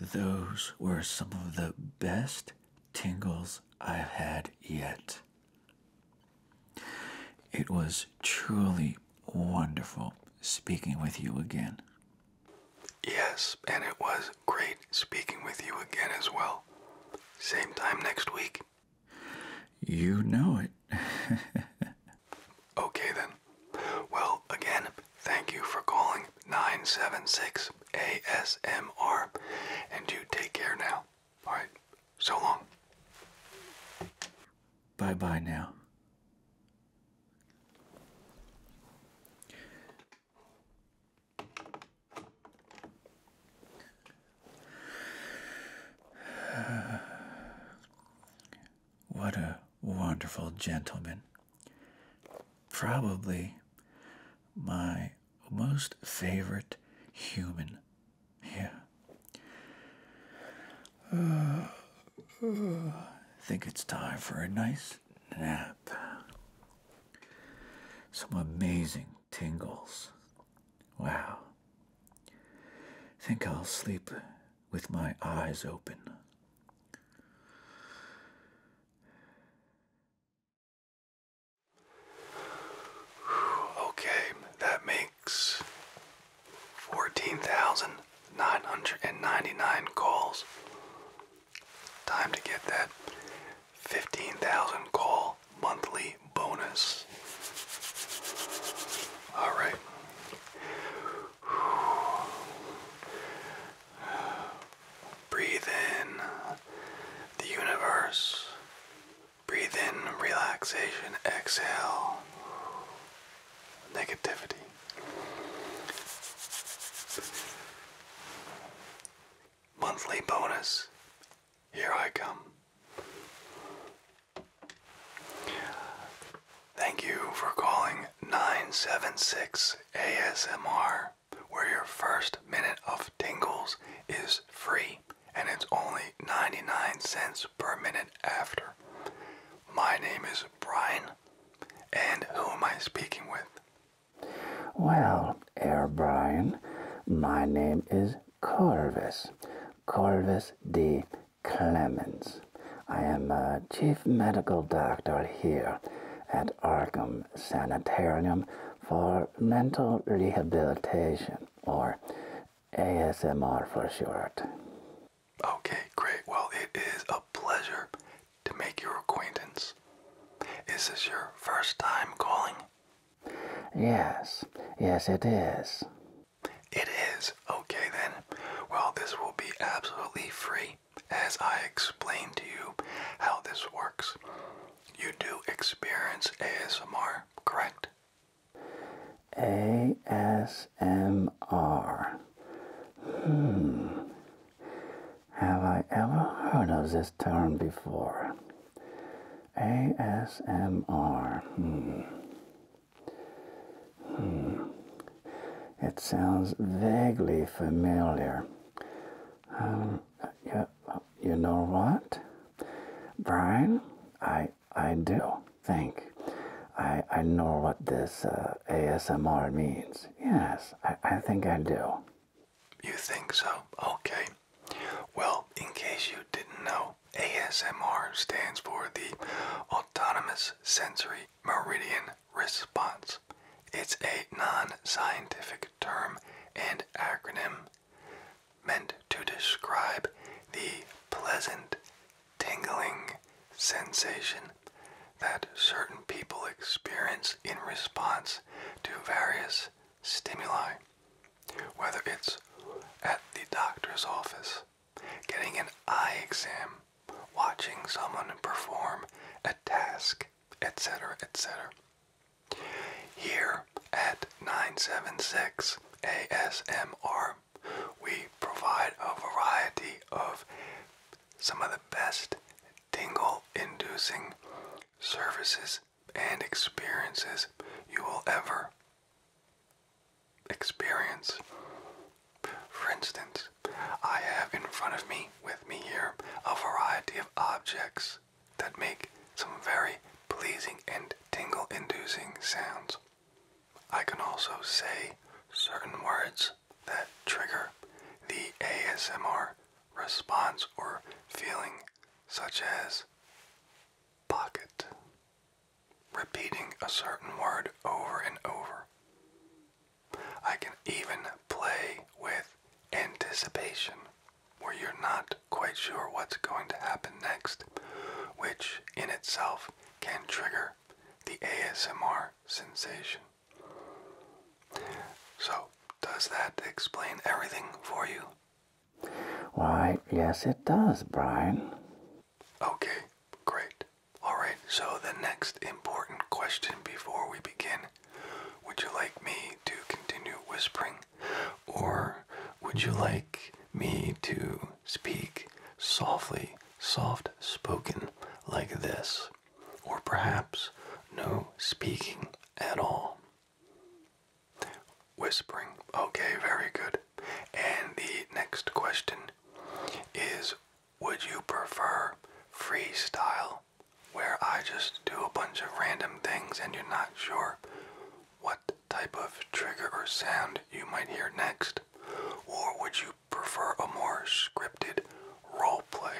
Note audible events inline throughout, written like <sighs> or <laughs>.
Those were some of the best tingles I've had yet. It was truly wonderful speaking with you again. Yes, and it was great speaking with you again as well. Same time next week. You know it. <laughs> okay, then. Well, again, thank you for calling 976 ASMR, and you take care now. All right, so long. Bye bye now. What a wonderful gentleman. Probably my most favorite human. Yeah. I <sighs> think it's time for a nice nap. Some amazing tingles. Wow. Think I'll sleep with my eyes open. Okay, that makes 14,999 calls. Time to get that 15,000 call monthly bonus. All right. Breathe in the universe. Breathe in relaxation. Exhale negativity monthly bonus. Here I come. Thank you for calling 976 ASMR, where your first minute of tingles is free and it's only 99 cents per minute after. My name is Brian, and who am I speaking with? Well, Air Brian, my name is Corvus, Corvus D. Clemens. I am a chief medical doctor here at Arkham Sanitarium for mental rehabilitation, or ASMR for short. Okay, great. Well, it is a pleasure to make your acquaintance. Is this your first time calling? Yes, yes, it is. It is. Okay, then. Well, this will be absolutely free as I explain to you how this works. You do experience ASMR, correct? ASMR. Hmm. Have I ever heard of this term before? ASMR. Hmm. Hmm. It sounds vaguely familiar. Um, you, you know what, Brian? I I do think I I know what this uh, ASMR means. Yes, I I think I do. You think so? Okay. Well, in case you didn't know, ASMR stands for the Autonomous Sensory Meridian Response. It's a non scientific term and acronym meant to describe the pleasant, tingling sensation that certain people experience in response to various stimuli. Whether it's at the doctor's office, getting an eye exam, watching someone perform a task, etc., etc. Here at 976 ASMR, we provide a variety of some of the best tingle inducing services and experiences you will ever experience. For instance, I have in front of me, with me here, a variety of objects that make some very pleasing and tingle inducing sounds. I can also say certain words that trigger the ASMR response or feeling, such as pocket, repeating a certain word over and over. I can even play with anticipation, where you're not quite sure what's going to happen next, which in itself can trigger the ASMR sensation. So, does that explain everything for you? Why, yes, it does, Brian. Okay, great. Alright, so the next important question before we begin would you like me to continue whispering, or would you like me to speak softly, soft spoken, like this, or perhaps no speaking at all? Whispering. Okay, very good. And the next question is Would you prefer freestyle, where I just do a bunch of random things and you're not sure what type of trigger or sound you might hear next? Or would you prefer a more scripted role play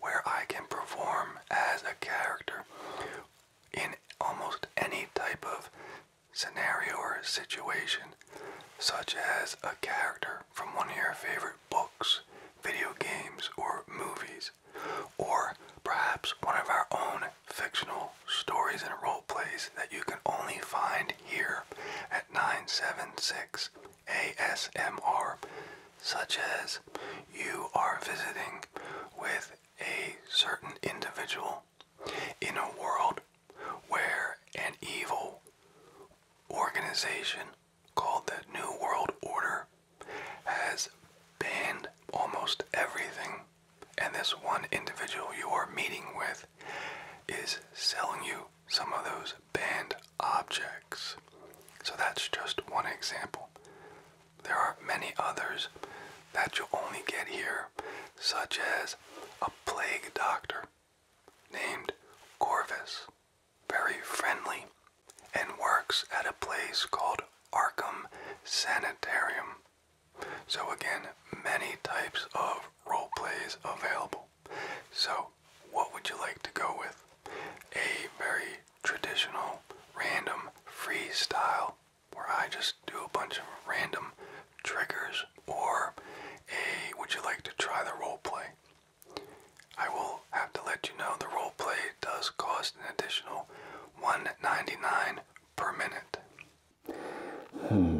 where I can perform as a character in almost any type of scenario or situation, such as a character from one of your favorite books, video games, or movies, or perhaps one of our own fictional stories and role plays that you can only find here at 976 ASMR, such as you are visiting with a certain individual in a world where an evil organization called the New World Order has banned almost everything, and this one individual you are meeting with is selling you some of those banned objects. So that's just one example. There are many others that you'll only get here, such as a plague doctor named Corvus, very friendly, and works at a place called Arkham Sanitarium. So again, many types of role plays available. So, what would you like to go with? A very traditional, random, freestyle where I just do a bunch of random triggers or a would you like to try the role play. I will have to let you know the role play does cost an additional one ninety nine per minute. Hmm.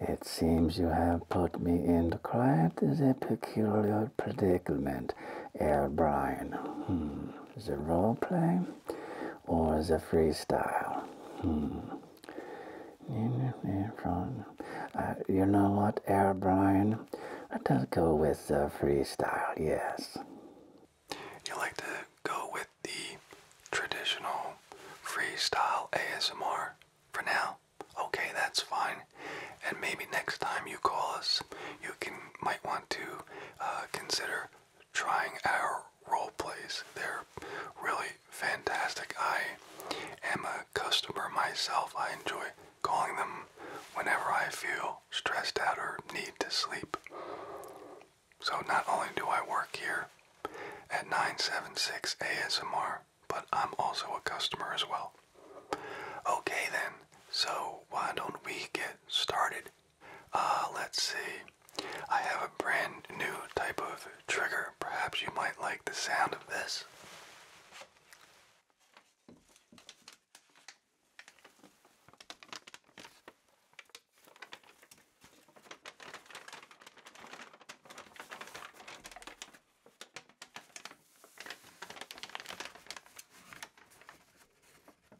It seems you have put me in quite a peculiar predicament, Air Brian. Hmm. Is The role play? or is it freestyle? Hmm. Uh, you know what, Air Brian? Let us go with the freestyle, yes. You like to go with the traditional freestyle ASMR for now? Okay, that's fine. And maybe next time you call us, you can might want to uh, consider trying our role plays. They're really fantastic. I am a customer myself. I enjoy calling them whenever I feel stressed out or need to sleep. So not only do I work here at 976 ASMR, but I'm also a customer as well. Okay then, so why don't we get started uh, let's see. I have a brand new type of trigger. Perhaps you might like the sound of this.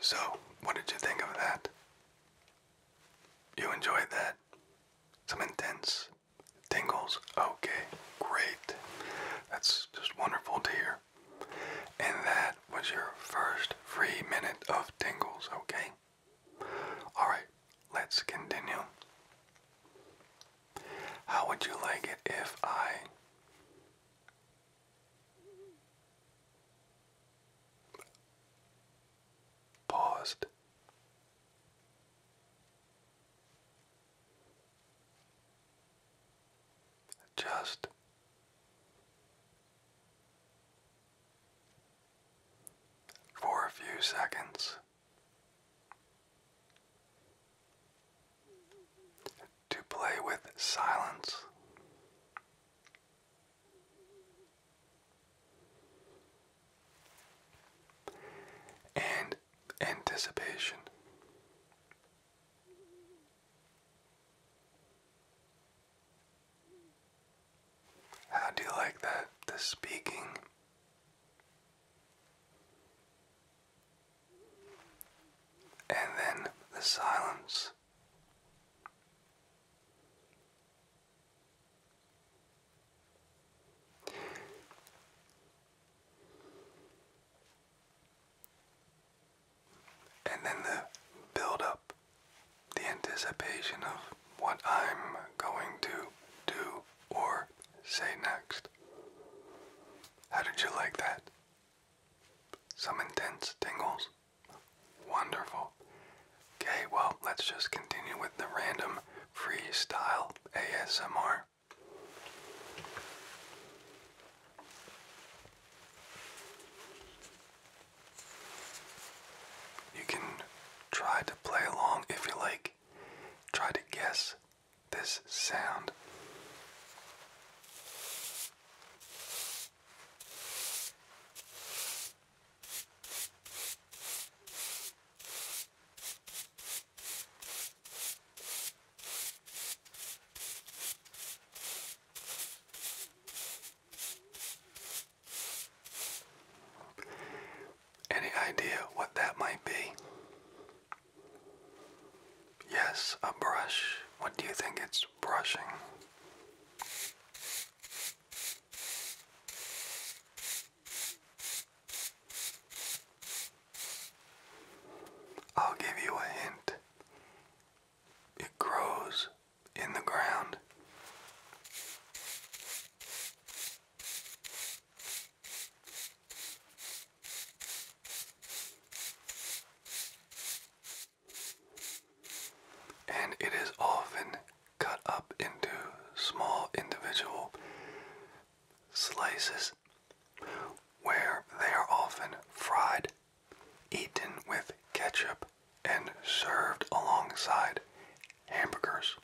So, what did you think of that? You enjoyed that? Some intense tingles? Okay, great. That's just wonderful to hear. And that was your first free minute of tingles, okay? Alright, Let's continue. How would you like it if I paused? Just for a few seconds. To play with silence. And anticipation. How do you like that? The speaking and then the silence. And then the build up, the anticipation of what I'm going to do or say next. How did you like that? Some intense tingles? Wonderful. Okay, well, let's just continue with the random freestyle ASMR. You can try to play along if you like. Try to guess this sound. Any idea what that might be? Yes, a brush. What do you think it's brushing? I'll give you a hint. It grows in the ground. And it is often cut up into small individual slices where they are often fried, eaten with ketchup, and served alongside hamburgers.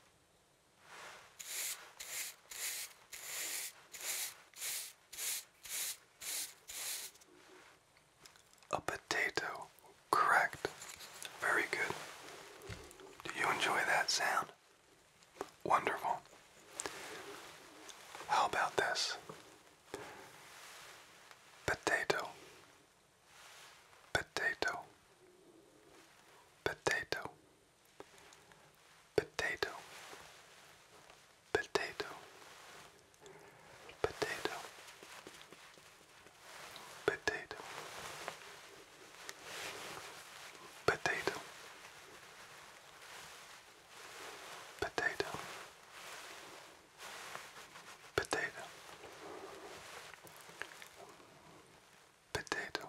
A potato, correct. Very good. Do you enjoy that sound? Wonderful. How about this? Potato, potato, potato potato, potato, potato, potato, potato, potato, potato. Potato,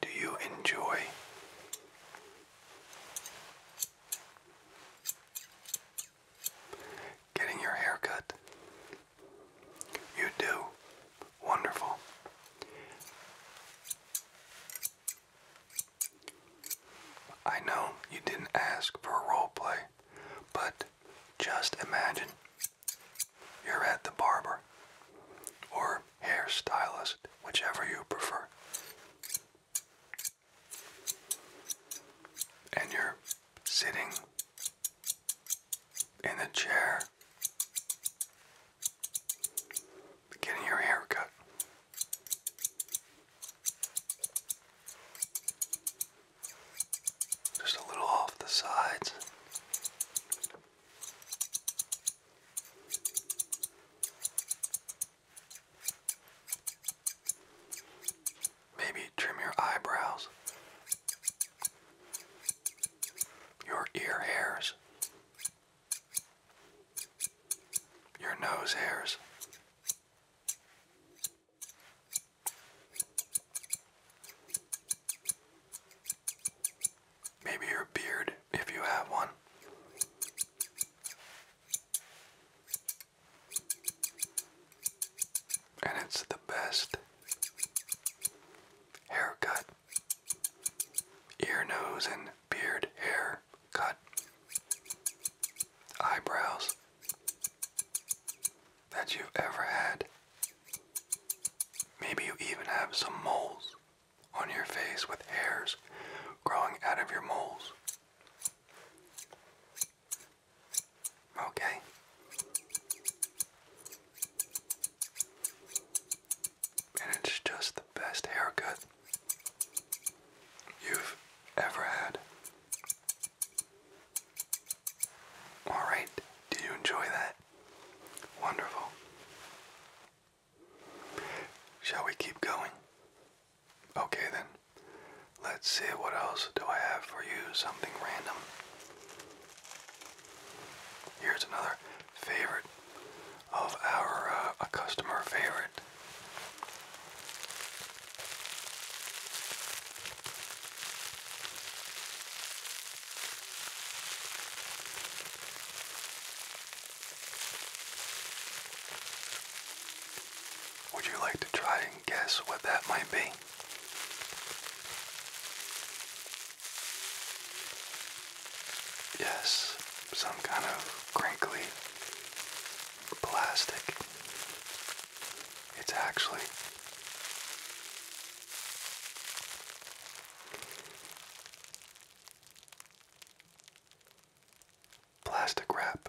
do you enjoy? Getting your hair cut? You do. Wonderful. I know you didn't ask for a role play, but just imagine you're at the barber or hairstylist, whichever you prefer. And you're sitting in a chair getting your haircut, Just a little off the sides. Maybe trim your eyebrows, your ear hairs, your nose hairs. Maybe your beard, if you have one. And it's the best haircut. Ear, nose, and beard hair cut. Eyebrows that you've ever had. Maybe you even have some moles on your face with hairs growing out of your moles. Okay. And it's just the best haircut you've ever had. Alright, did you enjoy that? Wonderful. Shall we keep going? Okay then. Let's see what else do I have for you. Something random. Here's another favorite of our uh, a customer favorite. Would you like to try and guess what that might be? Yes, some kind of crinkly plastic. It's actually Plastic wrap.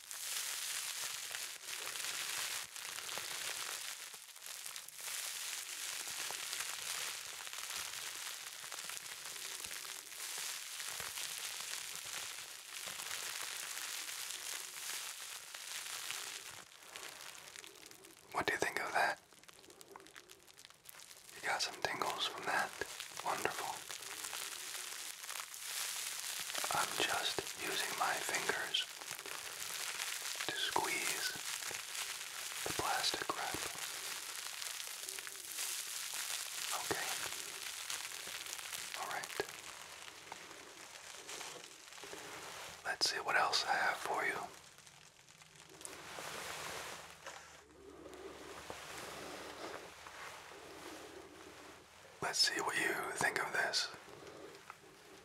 What do you think of that? You got some tingles from that? Wonderful. I'm just using my fingers to squeeze the plastic wrap. Okay. All right. Let's see what else I have for you. Let's see what you think of this.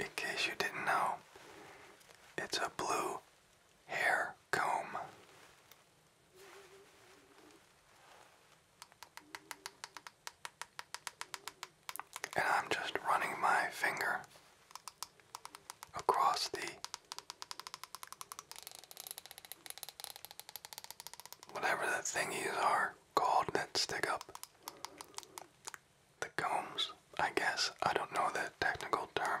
In case you didn't know, it's a blue hair comb. And I'm just running my finger across the whatever the thingies are called that stick up the combs, I guess. I don't know the technical term.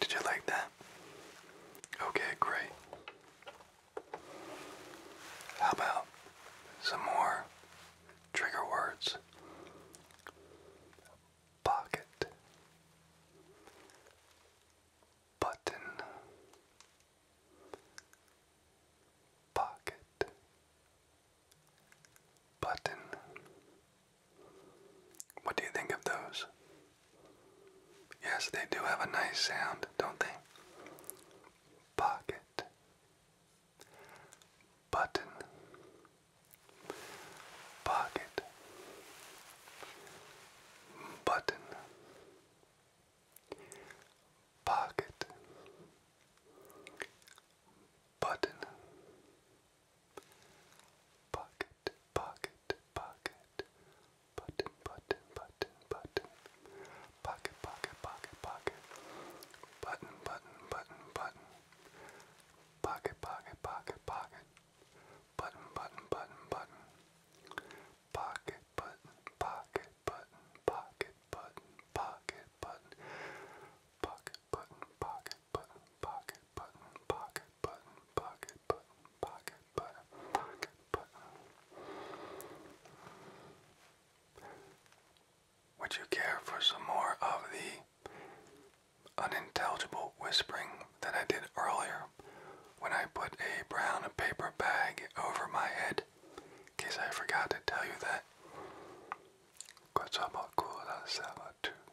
Did you like that? Okay, great. How about some more trigger words? Pocket, button, pocket, button, what do you think of those? Yes, they do have a nice sound, don't they? Pocket. Button. Pocket. Button. Pocket. Button. Pocket, pocket, pocket. Button, button, button, button. Pocket, pocket, pocket, pocket. Button, button, button, button. Pocket, pocket, pocket, pocket. Button, button, button, button. Pocket, button, pocket, button, pocket, button, pocket, button. Pocket, button, pocket, button, pocket, button, pocket button, pocket button, pocket button, pocket button. Would you care for some more of the unintelligible whispering that I did earlier when I put a brown paper bag over my head? In case I forgot to tell you that.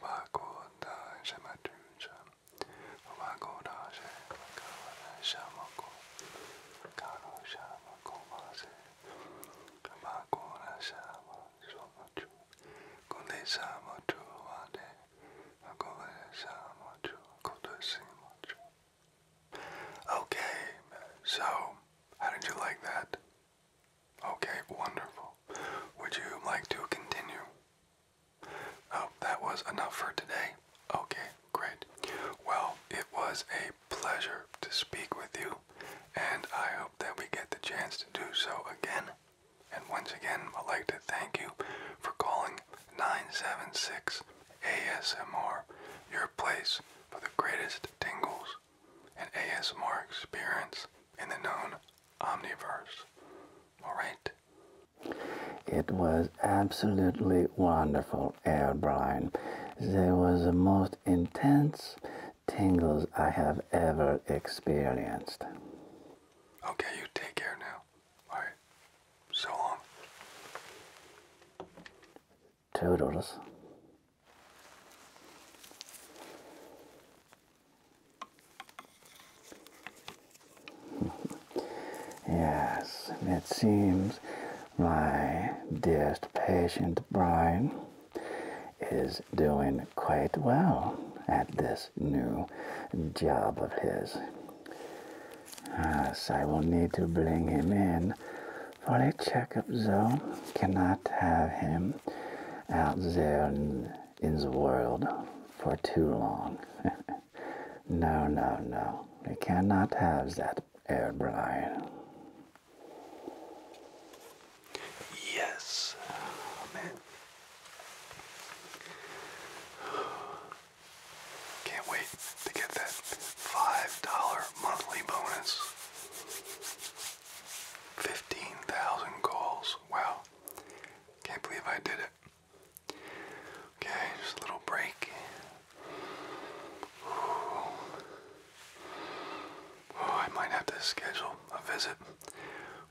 와고다 샤마투자 와고다 샤마카와다 샤마코 가로 샤마코마세 와고다 샤마소마투 고네 샤마투 와데 와고다 샤마투 고도시마투 Okay, so how did you like that? Okay, wonderful. Would you like to continue? Oh, that was enough for today. Okay, great. Well, it was a pleasure to speak with you, and I hope that we get the chance to do so again. And once again, I'd like to thank you for calling 976 ASMR, your place for the greatest tingles and ASMR experience in the known omniverse. All right. It was absolutely wonderful, Air Brian. There was the most intense tingles I have ever experienced. Okay, you take care now. All right. So long. Toodles. Yes, it seems my dearest patient Brian is doing quite well at this new job of his. Yes, I will need to bring him in for a checkup, though. Cannot have him them out there in, in the world for too long. <laughs> no, no, no. We cannot have that air, Brian. Yes, oh, man. Can't wait to get that $5 monthly bonus. 15,000 calls. Wow. Can't believe I did it. Okay, just a little break. I might have to schedule a visit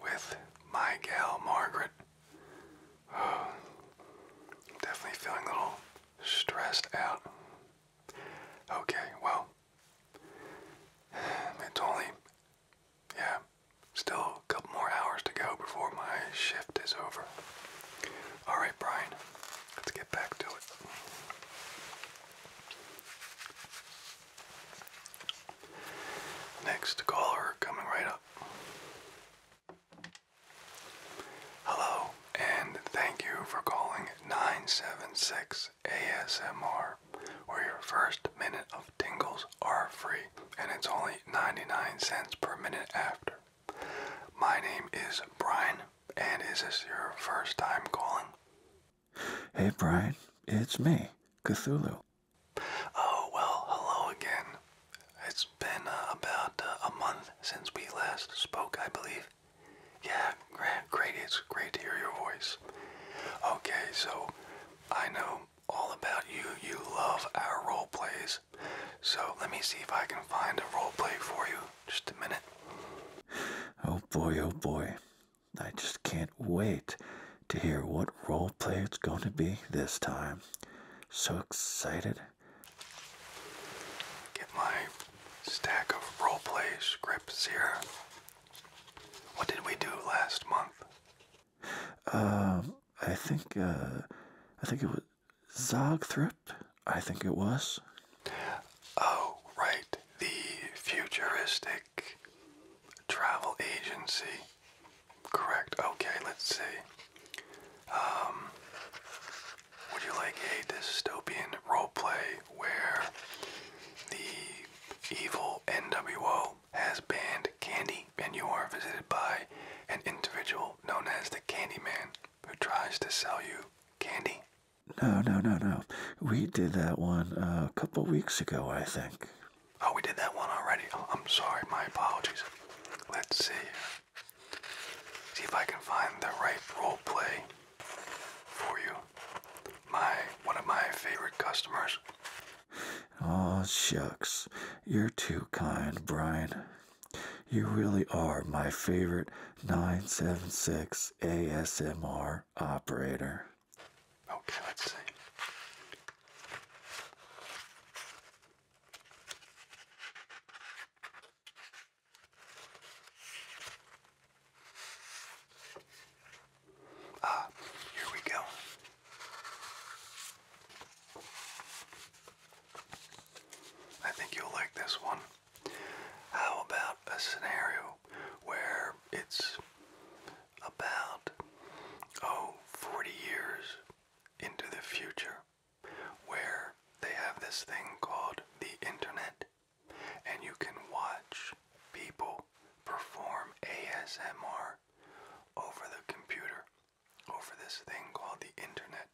with my gal Margaret. I'm <sighs> definitely feeling a little stressed out. Okay, well, <sighs> it's only yeah, still a couple more hours to go before my shift is over. All right, Brian, let's get back to it. Next caller coming right up. Hello, and thank you for calling 976 ASMR, where your first minute of tingles are free and it's only 99 cents per minute after. My name is Brian, and is this your first time calling? Hey Brian, it's me, Cthulhu. Oh, well, hello again. It's been uh, about uh, a month since we last spoke, I believe. Yeah, great, great. It's great to hear your voice. Okay, so I know all about you. You love our role plays. So let me see if I can find a role play for you. Just a minute. Oh boy, oh boy. I just can't wait to hear what role play it's going to be this time. So excited. Get my stack of role play scripts here. What did we do last month? Um, I think, uh, I think it was Zogthrip. I think it was. Oh, right. The futuristic travel agency. Correct. Okay, let's see. Um, would you like a dystopian roleplay where the evil NWO has banned candy, and you are visited by an individual known as the Candyman who tries to sell you candy. No, no, no, no. We did that one a couple weeks ago, I think. Oh, we did that one already. I'm sorry. My apologies. Let's see. See if I can find the right role play for you my one of my favorite customers. Oh shucks, you're too kind, Brian. You really are my favorite 976 ASMR operator. Okay, let's see. Ah, here we go. I think you'll like this one. How about a scenario where it's about, oh, 40 years into the future, where they have this thing called the internet and you can watch people perform ASMR over the computer, over this thing called the internet.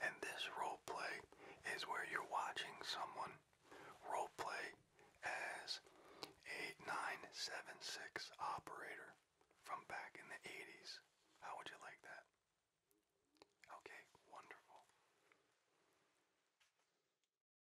And this role play is where you're watching someone role play as eight nine seven six operator from back in the 80s. How would you like that? Okay, wonderful.